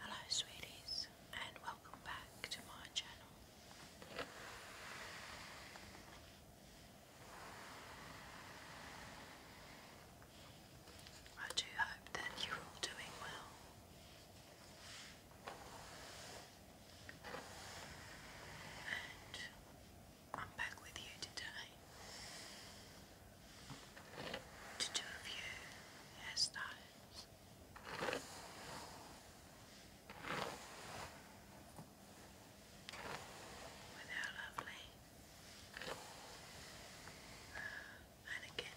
Hello, sweeties, and welcome back to my channel. I do hope that you're all doing well. And I'm back with you today to do a few hairstyles. With our lovely uh, mannequin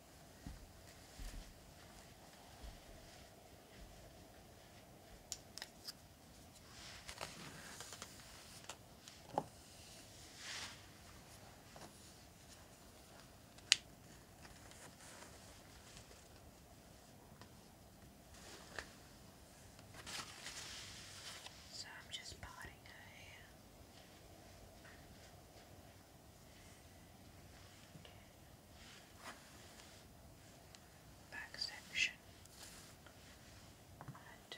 So I'm just parting her hair back section and front.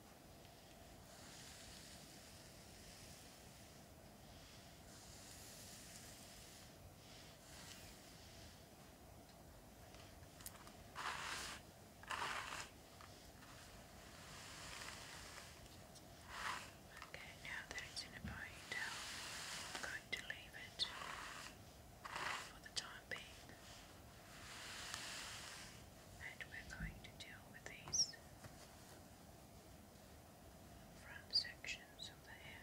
Okay, now that it's in a ponytail, I'm going to leave it for the time being and we're going to deal with these front sections of the hair.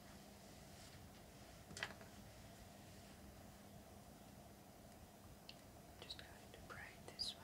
Just going to braid this one.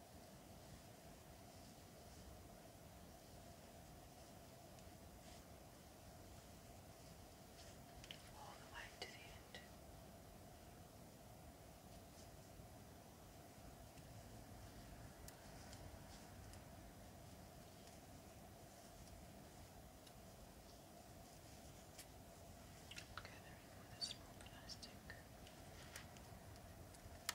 all the way to the end. Gathering with a small plastic.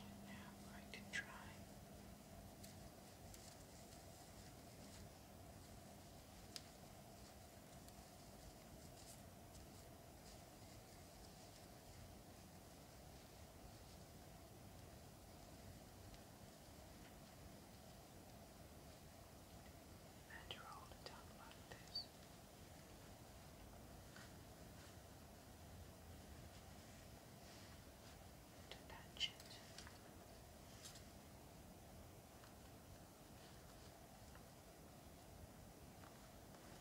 And now I'm going to try and and roll it down like this. To touch it. Now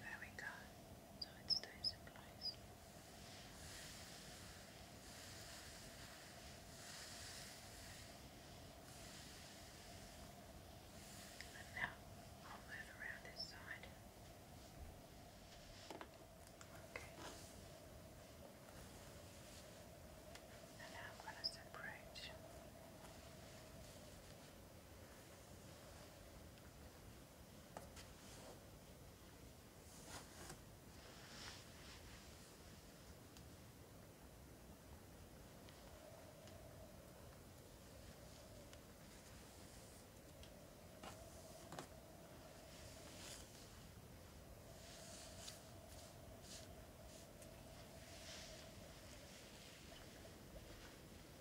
There we go, so it stays in and now I'll move around this side. Okay. And now I'm going to separate.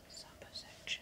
Supper section.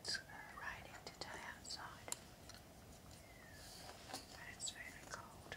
It's uh, raining today outside, and it's very cold.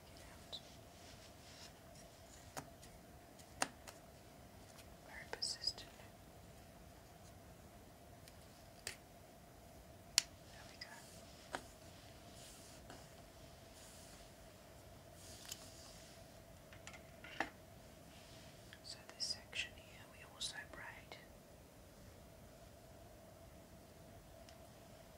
to get Very persistent. There we go. So this section here we also braid.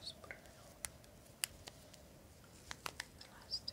Just put it on the last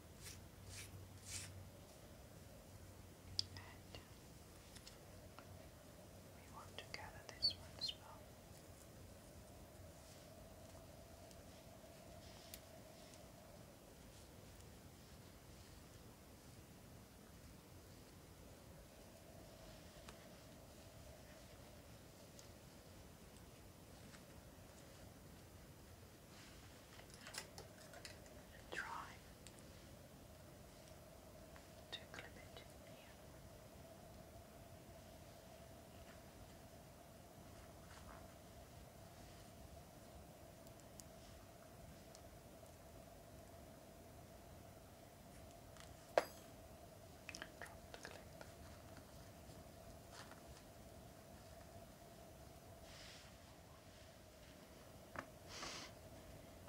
And we want to gather this one and try to clip it here. Drop the clip.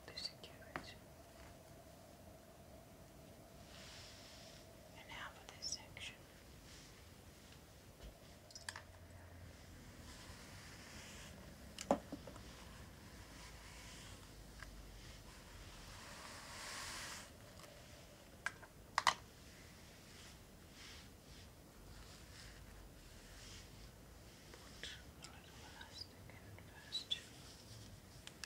There's a And now for this section. Put a little elastic in first. Put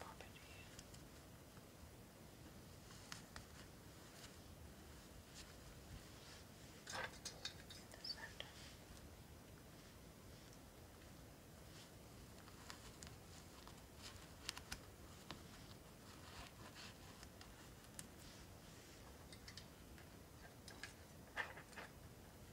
Property. The center. Right.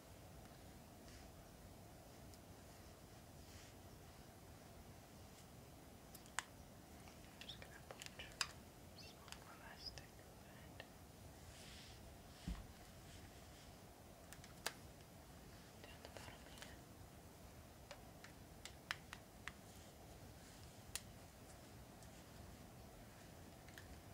I'm just going to put some elastic band down the bottom here. Just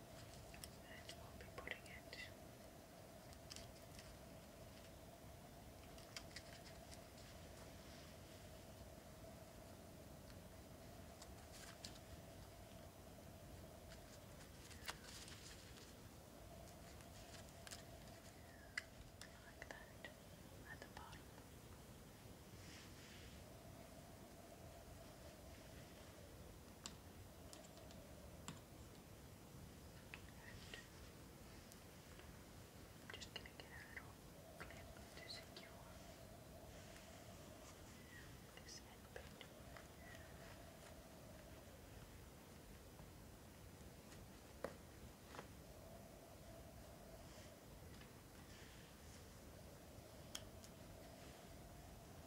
and we'll be putting it like that at the bottom. I'm just going to get a little clip to secure this end bit. Okay.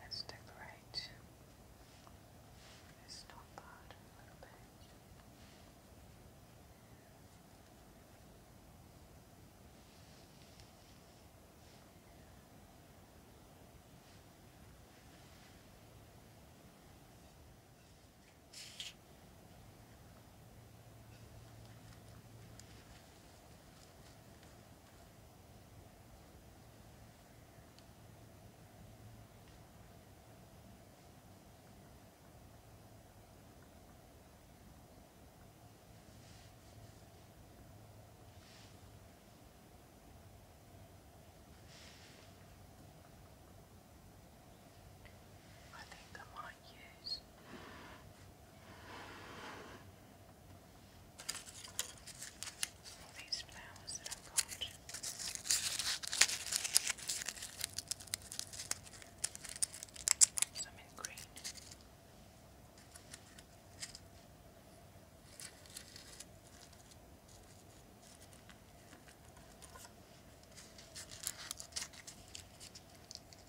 Let's decorate this top part a little bit. I think i might use. All these flowers that I've got. Some in green.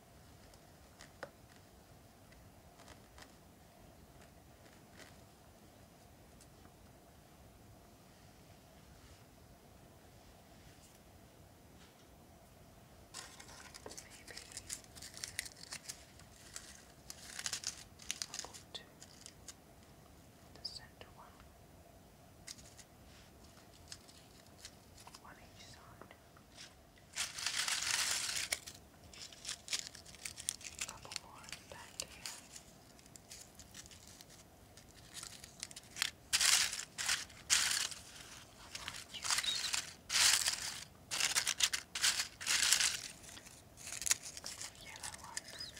Maybe I'll the center one. One each side. A couple more in the back here. Yellow ones.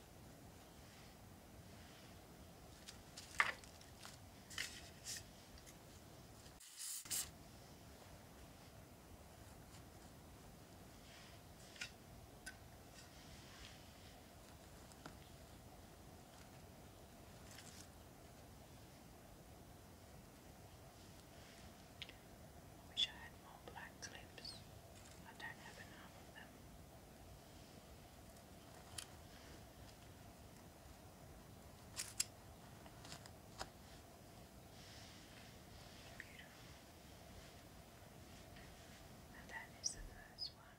Wish I had more black clips. I don't have enough of them. Now that is the first one.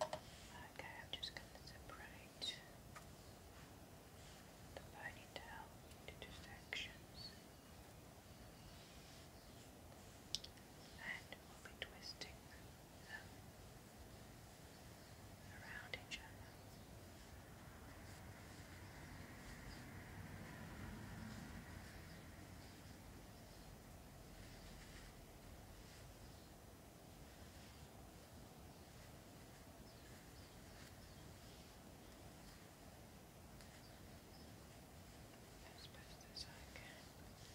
Okay, I'm just going to separate the ponytail into sections, and we'll be twisting them around each other as best as I can. Just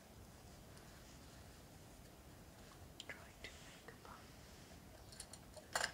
Trying to make a pun.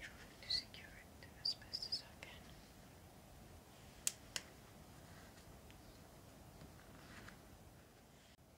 trying to secure it as best as I can.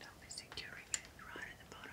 Don't be securing it right at the bottom.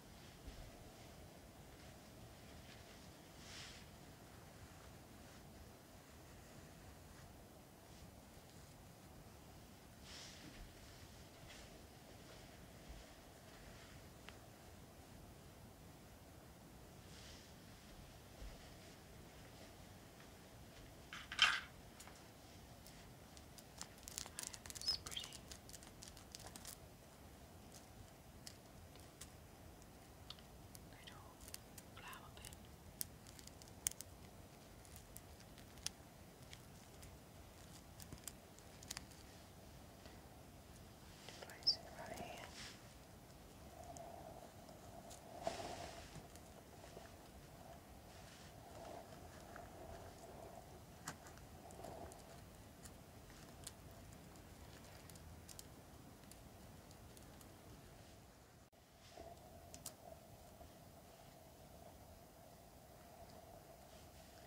I have this pretty little flower bed. Place it right here. Right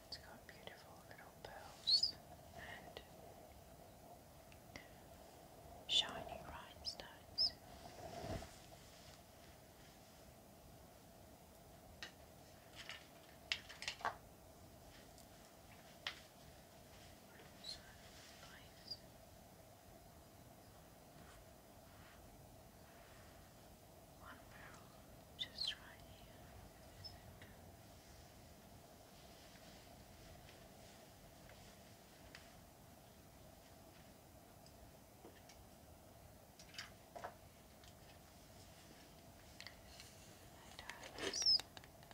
it's got beautiful little pearls and shiny rhinestones sacrifice. One barrel just right here in the center. I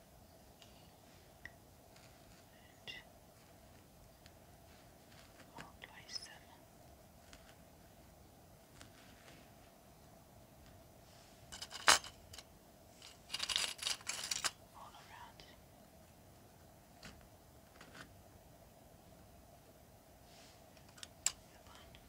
and I'll all around it. One.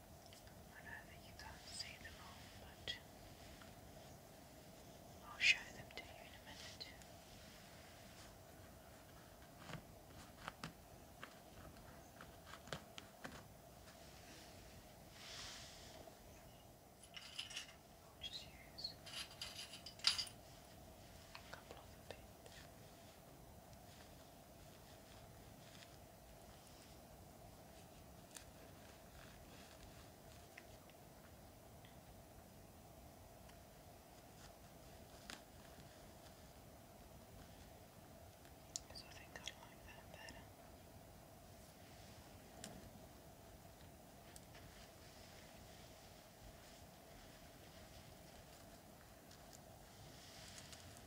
I you can't see them all, but I'll show them to you in a minute. I'll just use a couple of the bits. So I think I like that better.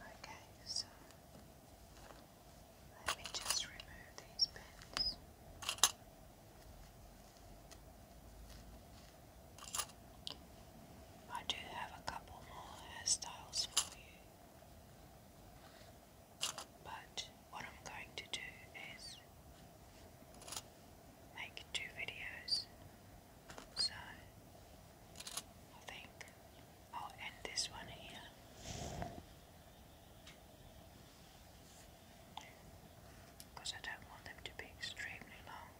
Okay, so let me just remove these pins. I do have a couple more hairstyles for you, but what I'm going to do is make two videos. So I think I'll end this one here. Because I don't want them to be extremely long.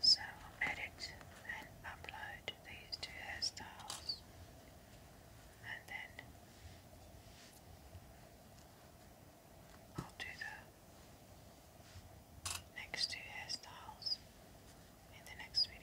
So i edit and upload these two hairstyles and then I'll do the next two hairstyles in the next video.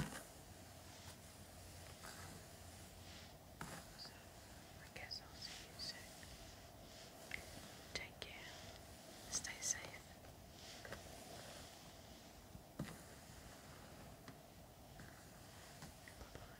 I guess I'll see you soon. Take care. Stay safe. Bye-bye.